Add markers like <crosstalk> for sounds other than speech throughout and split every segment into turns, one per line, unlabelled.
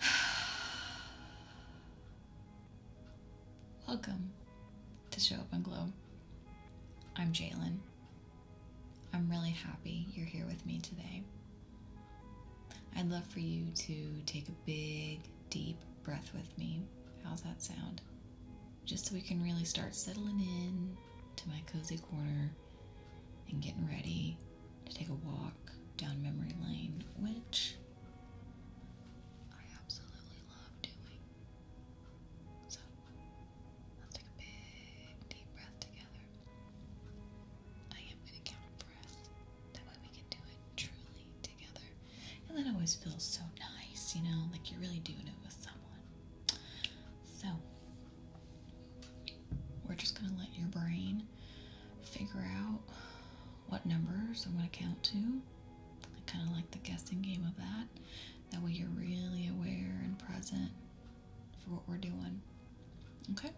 <sighs> Welcome to Show Up and Glow. I'm Jalen. I'm really happy you're here with me today. I'd love for you to take a big, deep breath with me. How's that sound? Just so we can really start settling in to my cozy corner and getting ready to take a walk down memory lane, which I absolutely love doing. So let's take a big, deep breath together. I am going to count for That way we can do it truly together. And that always feels so nice, you know, like you're really doing it with someone. So, we're just going to let your brain figure out what numbers I'm going to count to. I kind of like the guessing game of that. That way you're really aware and present for what we're doing. Okay.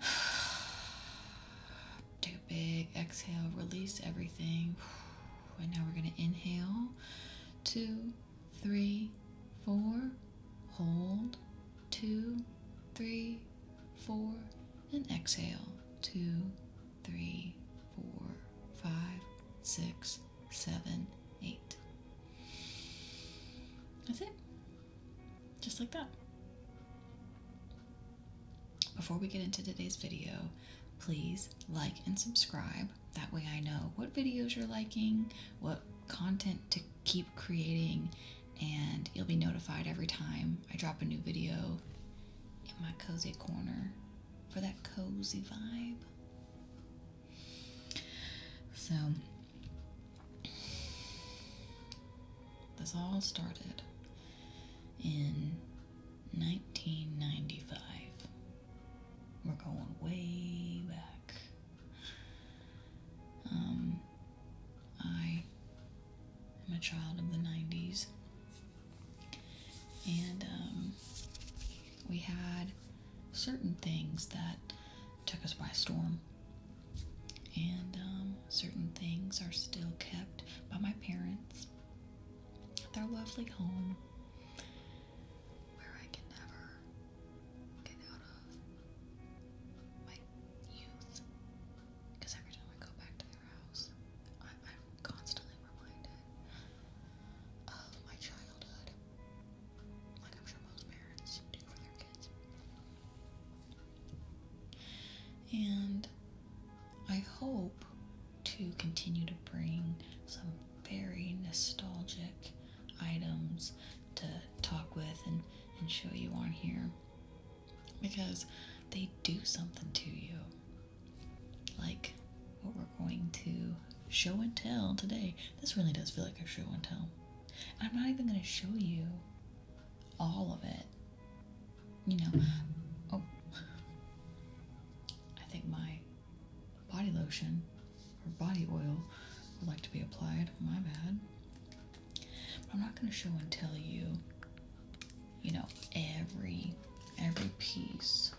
<sighs> Take a big exhale, release everything. <sighs> And now we're going to inhale. Two, three, four. Hold. Two, three, four. And exhale. Two, three, four, five, six, seven, eight. That's it just like that. Before we get into today's video, please like and subscribe. That way I know what videos you're liking, what content to keep creating, and you'll be notified every time I drop a new video in my cozy corner for that cozy vibe. So, this all started in 1995. We're going way back. Um, I am a child of the 90s, and um, we had certain things that took us by storm. And um, certain things are still kept by my parents, their lovely home, where I can never get out of my youth. Because every time I go back to their house, I'm constantly reminded of my childhood, like I'm sure most parents do for their kids. And I hope to continue to bring some very nostalgic items to talk with and, and show you on here because they do something to you. Like what we're going to show and tell today. This really does feel like a show and tell. I'm not even going to show you all of it. You know, oh, I think my body lotion or body oil would like to be applied. My bad. But I'm not going to show and tell you, you know, every every piece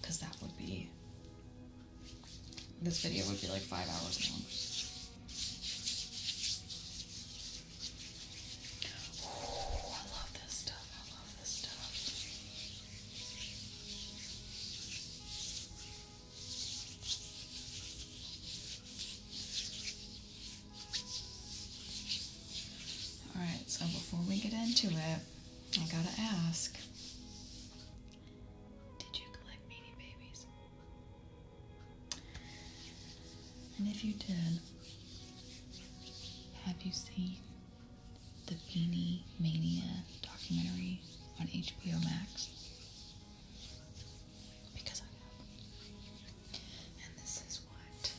because that would be this video would be like five hours long. I love this stuff. I love this stuff. All right, so before we get into it, I gotta ask Did you collect baby Babies? And if you did, have you seen the Beanie Mania documentary on HBO Max? Because I have. And this is what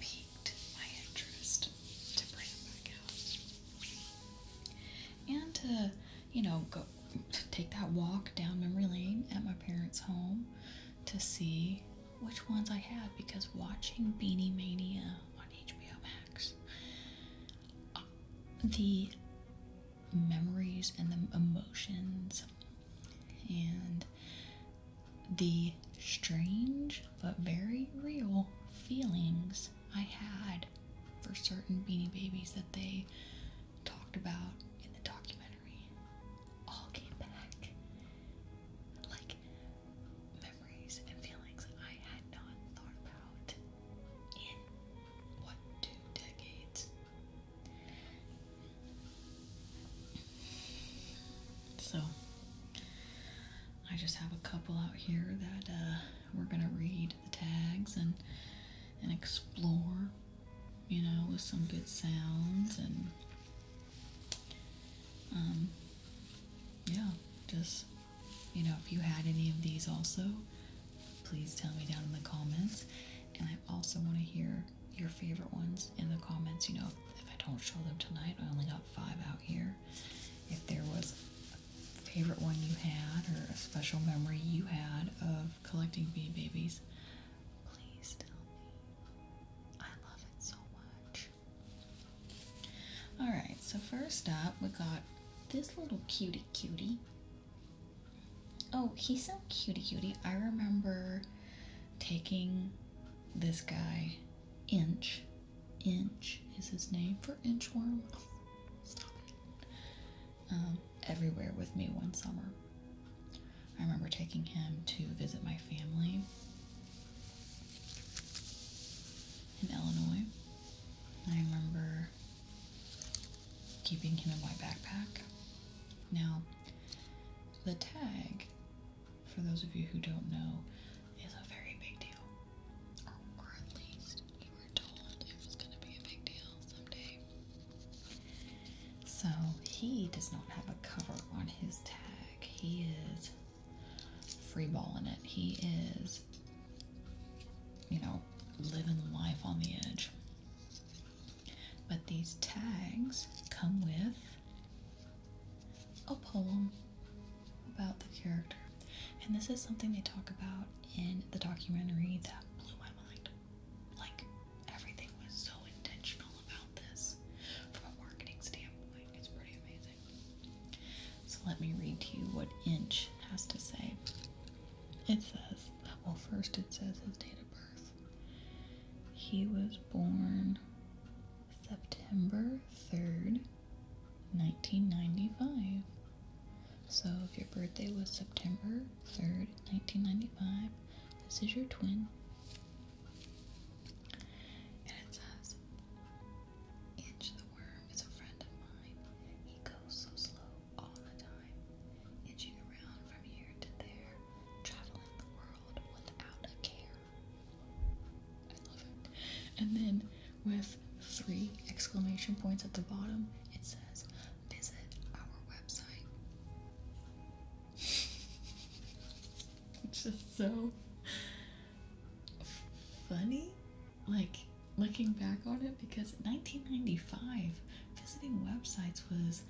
piqued my interest to bring it back out. And to you know, go take that walk down memory lane at my parents' home to see which ones I have. because watching Beanie Mania on HBO Max, uh, the memories and the emotions and the strange but very real feelings I had for certain Beanie Babies that they talked about in the documentary all came back. Like memories and feelings I had not thought about in what two decades. So I just have a couple out here that uh, we're gonna read the tags and and explore you know, with some good sounds and um, yeah, just you know, if you had any of these also, please tell me down in the comments. And I also want to hear your favorite ones in the comments. You know, if I don't show them tonight, I only got five out here. If there was a favorite one you had or a special memory you had of collecting bee babies. Please tell me. I love it so much. Alright, so first up, we got this little cutie cutie. Oh, he's so cutie cutie. I remember taking this guy, Inch. Inch is his name for inchworm. <laughs> Stop everywhere with me one summer. I remember taking him to visit my family in Illinois. I remember keeping him in my backpack. Now, the tag, for those of you who don't know, is a very big deal. Or, at least, so he does not have a cover on his tag. He is freeballing it. He is, you know, living life on the edge. But these tags come with a poem about the character. And this is something they talk about in the documentary that blew my mind. Like, everything was so intentional about this from a marketing standpoint. It's pretty amazing. So, let me read to you what Inch has to say. It says, well, first it says his date of birth. He was born September 3rd, 1995. So if your birthday was September 3rd, 1995, this is your twin. And it says, Inch the worm is a friend of mine. He goes so slow all the time, inching around from here to there, traveling the world without a care. I love it. And then with three exclamation points at the bottom, it says, visit our website. <laughs> it's just so funny, like looking back on it, because 1995 visiting websites was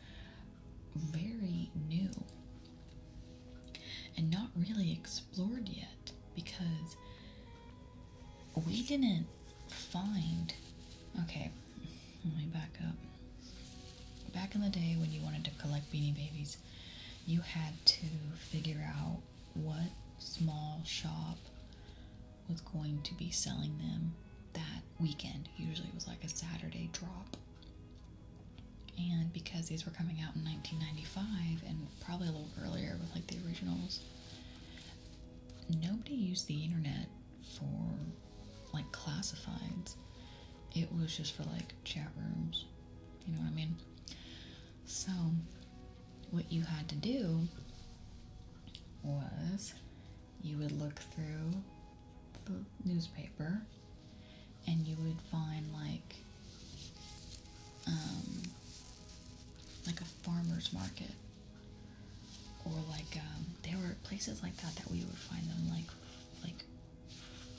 very new and not really explored yet because we didn't find. Okay, let me back up. Back in the day when you wanted to collect beanie babies, you had to figure out what small shop was going to be selling them that weekend. Usually it was like a Saturday drop. And because these were coming out in 1995 and probably a little earlier with like the originals, nobody used the internet for like classifieds. It was just for like chat rooms. You know what I mean? So, what you had to do was you would look through the newspaper and you would find like um, like a farmer's market or like um, there were places like that that we would find them like like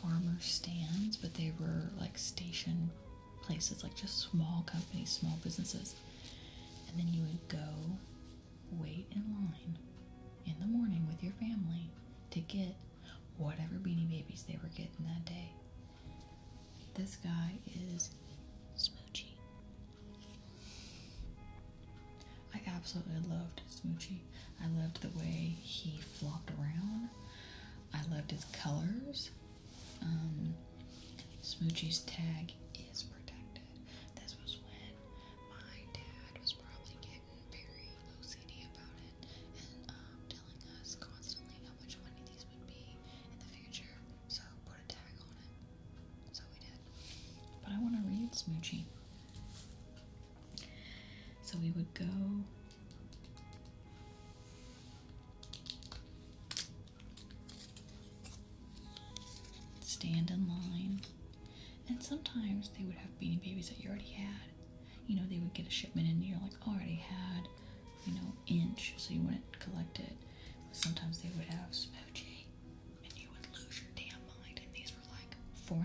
farmer stands, but they were like station places, like just small companies, small businesses, and then you would go wait in line in the morning with your family to get whatever beanie babies they were getting that day. This guy is smoking I absolutely loved Smoochie. I loved the way he flopped around. I loved his colors. Um, Smoochie's tag is protected. This was when my dad was probably getting very OCD about it and um, telling us constantly how much money these would be in the future. So put a tag on it. So we did. But I want to read Smoochie. So we would go. Stand in line. And sometimes they would have beanie babies that you already had. You know, they would get a shipment and you're like, already had, you know, inch, so you wouldn't collect it. sometimes they would have smoochie and you would lose your damn mind. And these were like 4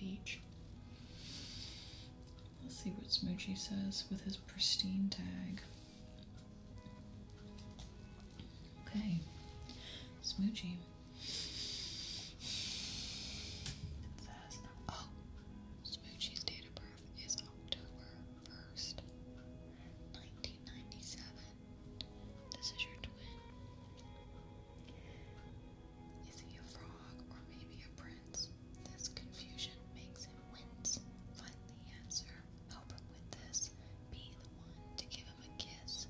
each. Let's see what Smoochie says with his pristine tag. Okay, Smoochie. oh, Smoochie's date of birth is October 1st, 1997. This is your twin. Is he a frog or maybe a prince? This confusion makes him wince. Find the answer. Help him with this. Be the one to give him a kiss.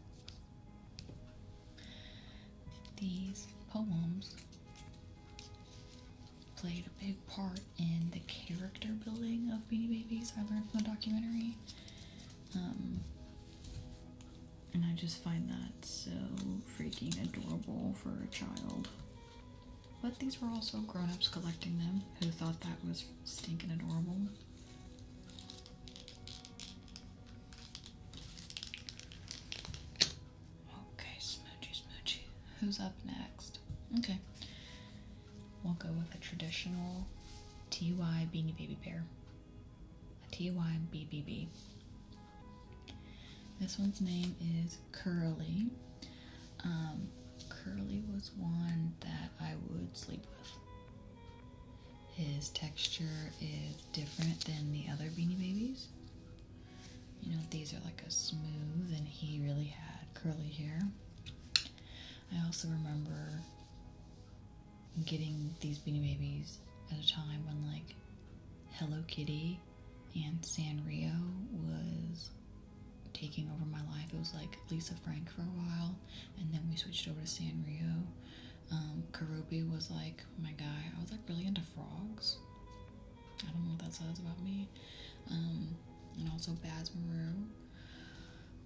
These poems played a big part in the character building of Beanie Babies. I learned from the documentary. Um, and I just find that so freaking adorable for a child. But these were also grown-ups collecting them who thought that was stinking adorable. Okay, smoochy smoochy. Who's up next? Okay we'll go with a traditional TY Beanie Baby bear. A TY BBB. This one's name is Curly. Um, curly was one that I would sleep with. His texture is different than the other Beanie Babies. You know, these are like a smooth, and he really had curly hair. I also remember getting these Beanie Babies at a time when like Hello Kitty and Sanrio was taking over my life. It was like Lisa Frank for a while, and then we switched over to Sanrio. Um, Karubi was like my guy. I was like really into frogs. I don't know what that says about me. Um, and also Baz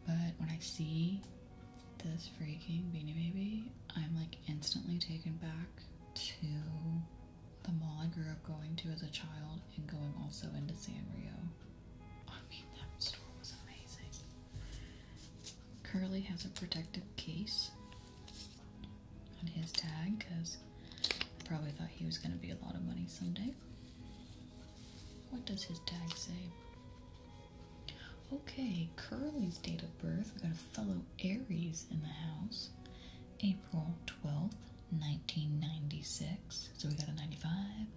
but when I see this freaking beanie baby, I'm like instantly taken back to the mall I grew up going to as a child and going also into Sanrio. I mean, that store was amazing. Curly has a protective case on his tag because I probably thought he was going to be a lot of money someday. What does his tag say? Okay, Curly's date of birth. We got a fellow Aries in the house. April 12th, 1996. So we got a 95,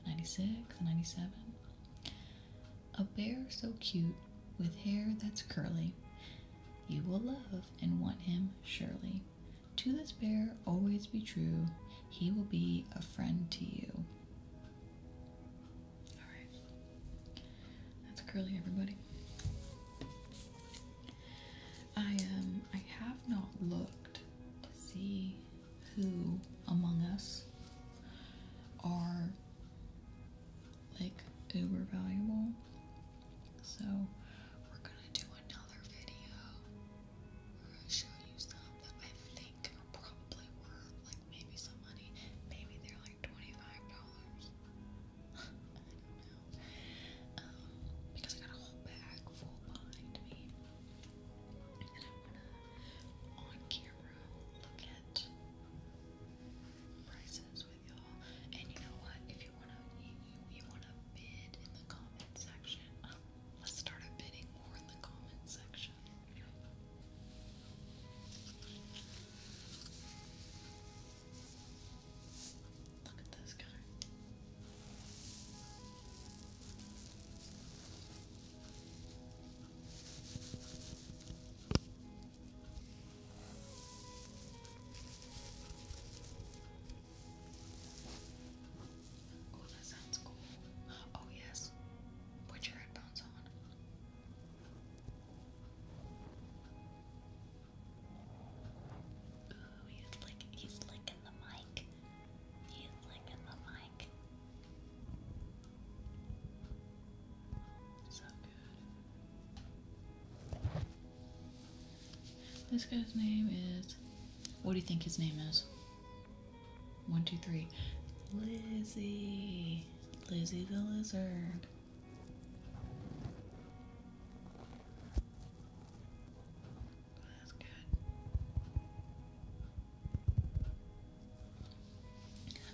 96, 97. A bear so cute with hair that's curly. You will love and want him surely. To this bear, always be true. He will be a friend to you. Alright. That's curly, everybody. I am. Um, I have not looked to see who among us are like uber valuable. So we're gonna do another video she'll you some that I think are probably worth like maybe some money. Maybe they're like $25. I don't know. Um, because I got a whole bag full behind me. And I wanna on camera look at prices with y'all. And you know what? If you wanna you, wanna bid in the comment section. let's start a bidding war in the comment section much. Look at this guy. Oh, that sounds cool. Oh, yes. Put your headphones on. Oh, he's like he's licking the mic. He's licking the mic. So good. This guy's name is. What do you think his name is? One, two, three. Lizzie. Lizzie the lizard. That's good.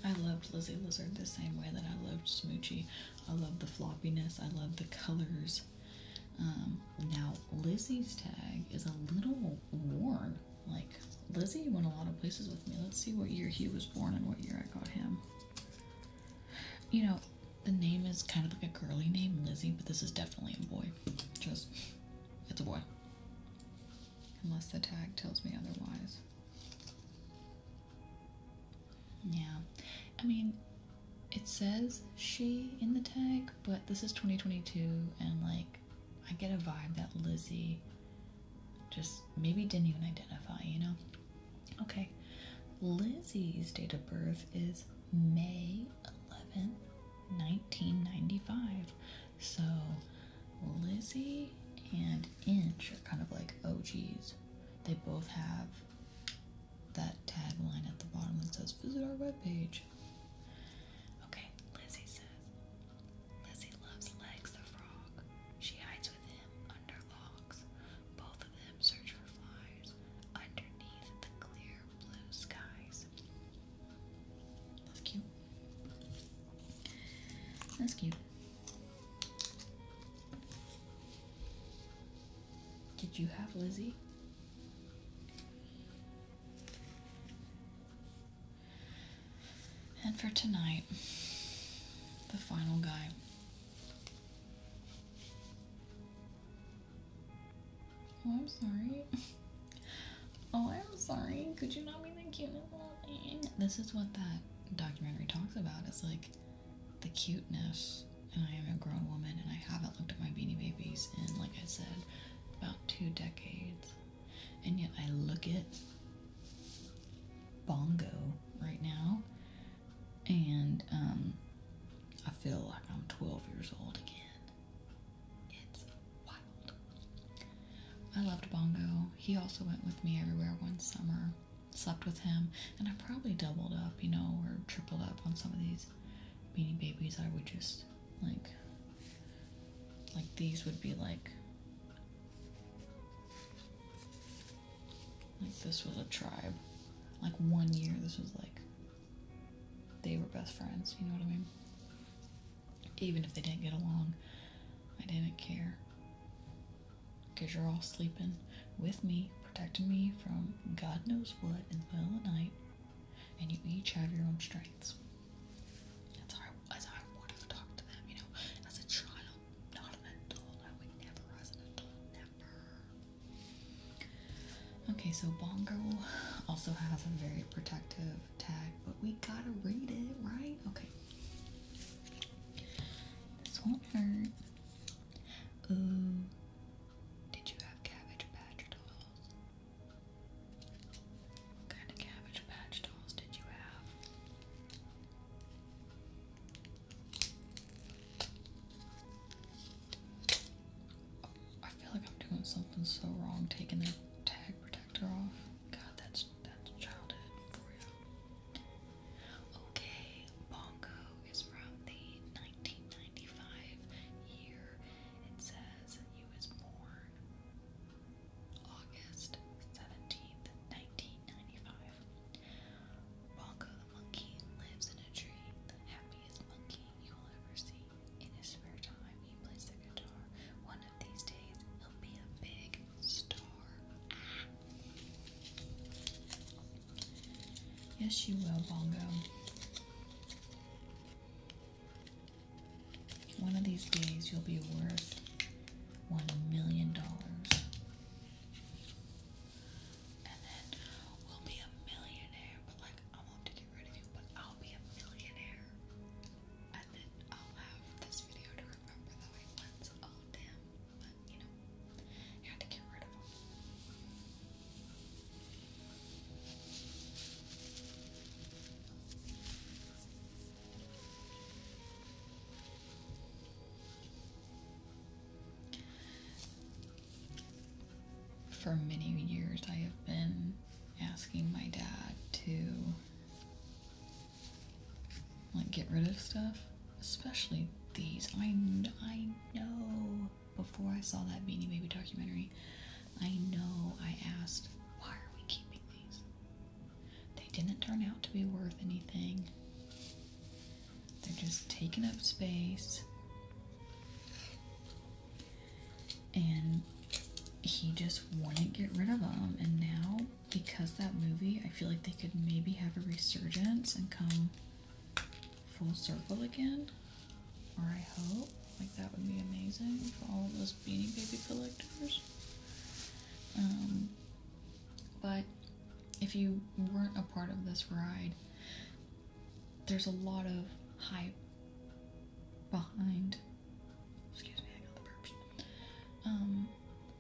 I loved Lizzie Lizard the same way that I loved Smoochie. I loved the floppiness. I loved the colors. Um, now, Lizzie's tag is a little worn. Like, Lizzie went a lot of places with me. Let's see what year he was born and what year I got him. You know, the name is kind of like a girly name, Lizzie, but this is definitely a boy. Just, it's a boy. Unless the tag tells me otherwise. Yeah. I mean, it says she in the tag, but this is 2022 and like I get a vibe that Lizzie just maybe didn't even identify, you know? Okay, Lizzie's date of birth is May 11, 1995. So Lizzie and Inch are kind of like OGs. They both have that tagline at the bottom that says, Visit our webpage. Okay, Lizzie says. Lizzie loves Legs the frog. She hides with him under logs. Both of them search for flies underneath the clear blue skies. That's cute. That's cute. Did you have Lizzie? And for tonight, the final guy. Oh, I'm sorry. <laughs> Oh, I'm sorry. Could you not be the cutest little thing? This is what that documentary talks about. It's like the cuteness. And I am a grown woman and I haven't looked at my beanie babies And like I said, about two decades, and yet I look at Bongo right now, and um, I feel like I'm 12 years old again. It's wild. I loved Bongo. He also went with me everywhere one summer. Slept with him, and I probably doubled up, you know, or tripled up on some of these Beanie Babies. I would just like, like these would be like, like this was a tribe. Like one year, this was like, they were best friends, you know what I mean? Even if they didn't get along, I didn't care. Because you're all sleeping with me, protecting me from God knows what in the middle of the night, and you each have your own strengths. That's I, that's how I to them, you know, as a child, not an adult. I would never as an adult, never. Okay, so Bongo also has a very protective tag, but we gotta read it, right? Okay. This won't hurt. Ooh. Did you have cabbage patch dolls? What kind of cabbage patch dolls did you have? I feel like I'm doing something so wrong taking their tag protector off. God, that's that's childhood for you. Okay, Bongo is from the 1995 year. It says he was born August 17th, 1995. Bongo the monkey lives in a tree, the happiest monkey you will ever see. In his spare time, he plays the guitar. One of these days, he'll be a big star. Yes, you will, Bongo. One of these days, you'll be worth one million dollars. And then we'll be a millionaire, but like, I will to get rid of you, but I'll be a millionaire. And then I'll have this video to remember that I once owned him, but you know, you had to get rid of him. For many years, I have been asking my dad to like get rid of stuff, especially these. I I know before I saw that Beanie Baby documentary, I know I asked, why are we keeping these? They didn't turn out to be worth anything. They're just taking up space. And he just wouldn't get rid of them. And now, because that movie, I feel like they could maybe have a resurgence and come full circle again. Or I hope. Like that would be amazing for all those beanie baby collectors. Um, but if you weren't a part of this ride, there's a lot of hype behind excuse me, I got the burps. Um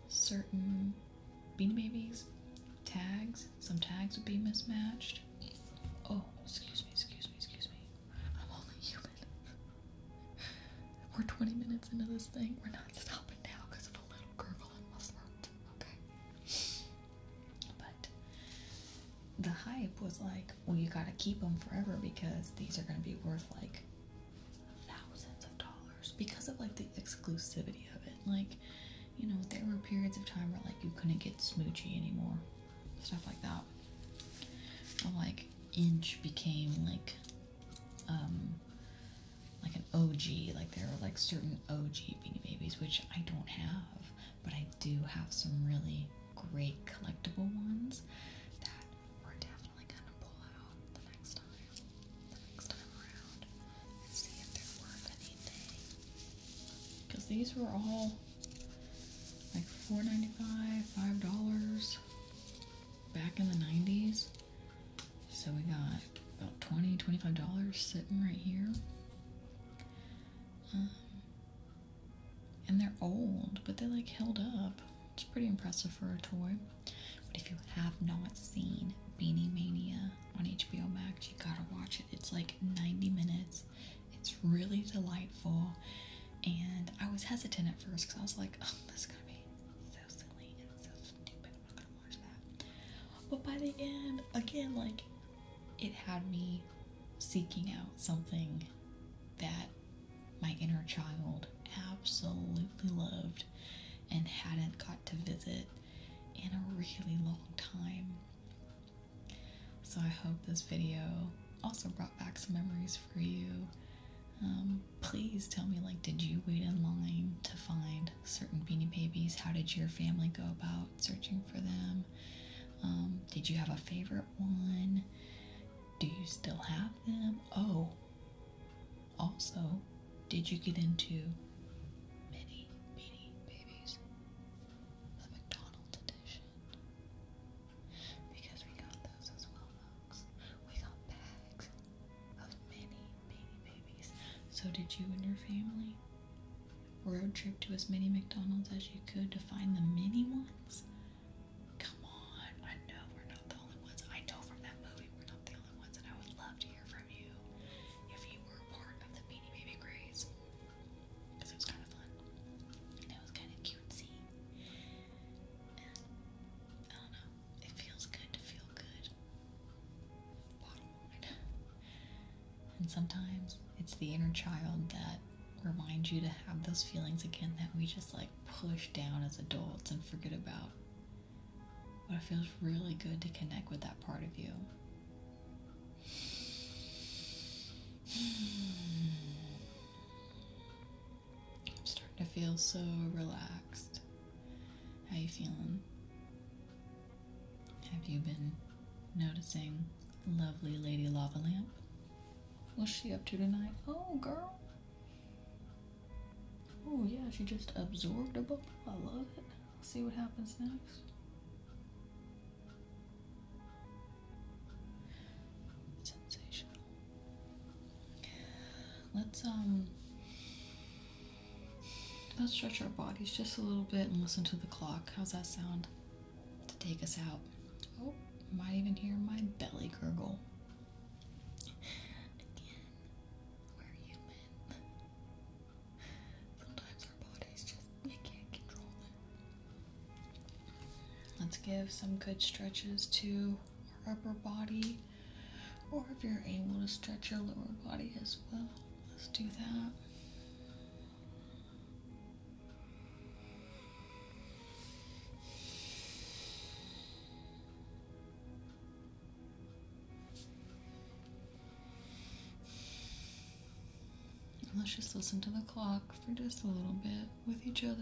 certain beanie babies, tags, some tags would be mismatched. Oh, excuse me, excuse me, excuse me. I'm only human. We're 20 minutes into this thing. We're not stopping now because of a little gurgling in Okay. But the hype was like, well, you gotta keep them forever because these are gonna be worth like thousands of dollars because of like the exclusivity of it. Like, you know, there were periods of time where like you couldn't get Smoochy anymore stuff like that. But like Inch became like um like an OG, like there are like certain OG Beanie Babies which I don't have, but I do have some really great collectible ones that we're definitely gonna pull out the next time, the next time around, and see if they're worth anything. Because these were all like $4.95, $5 back in the 90s. So we got about $20, $25 sitting right here. Um, and they're old, but they like held up. It's pretty impressive for a toy. But if you have not seen Beanie Mania on HBO Max, you gotta watch it. It's like 90 minutes it's really delightful. And I was hesitant at first because I was like, oh, this is going to be so silly and so stupid. I'm not going to watch that. But by the end, again, like, it had me seeking out something that my inner child absolutely loved and hadn't got to visit in a really long time. So I hope this video also brought back some memories for you. Um, please tell me, like, did you wait in line to find certain Beanie Babies? How did your family go about searching for them? Um, did you have a favorite one? Do you still have them? Oh, also, did you get into many Beanie Babies, the McDonald's edition? Because we got those as well, folks. We got bags of many baby babies. So, did you and your family road trip to as many McDonald's as you could to find the mini ones? Come on, I know we're not the only ones. I know from that movie we're not the only ones, and I would love to hear from you if you were part of the Beanie Baby craze it was kind of fun. it was kind of cutesy. I don't know, it feels good to feel good. Bottom line. And sometimes it's the inner child that reminds you to have those feelings again that we just like push down as adults and forget about. But it feels really good to connect with that part of you. <sighs> I'm starting to feel so relaxed. How you feeling? Have you been noticing lovely Lady Lava Lamp? What's she up to tonight? Oh, girl. Oh, yeah, she just absorbed a bubble. I love it. Let's see what happens next. Sensational. Let's um let's stretch our bodies just a little bit and listen to the clock. How's that sound? To take us out. Oh, might even hear my belly gurgle. Again, we're human. Sometimes our bodies just Let's give some good stretches to our upper body, or if you're able to stretch your lower body as well, let's do that let's just listen to the clock for just a little bit with each other.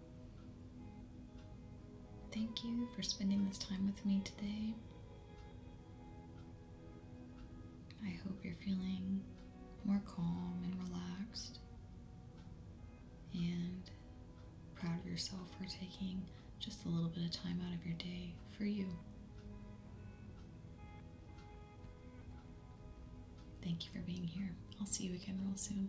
Thank you for spending this time with me today. I hope you're feeling more calm and relaxed and proud of yourself for taking just a little bit of time out of your day for you. Thank you for being here. I'll see you again real soon.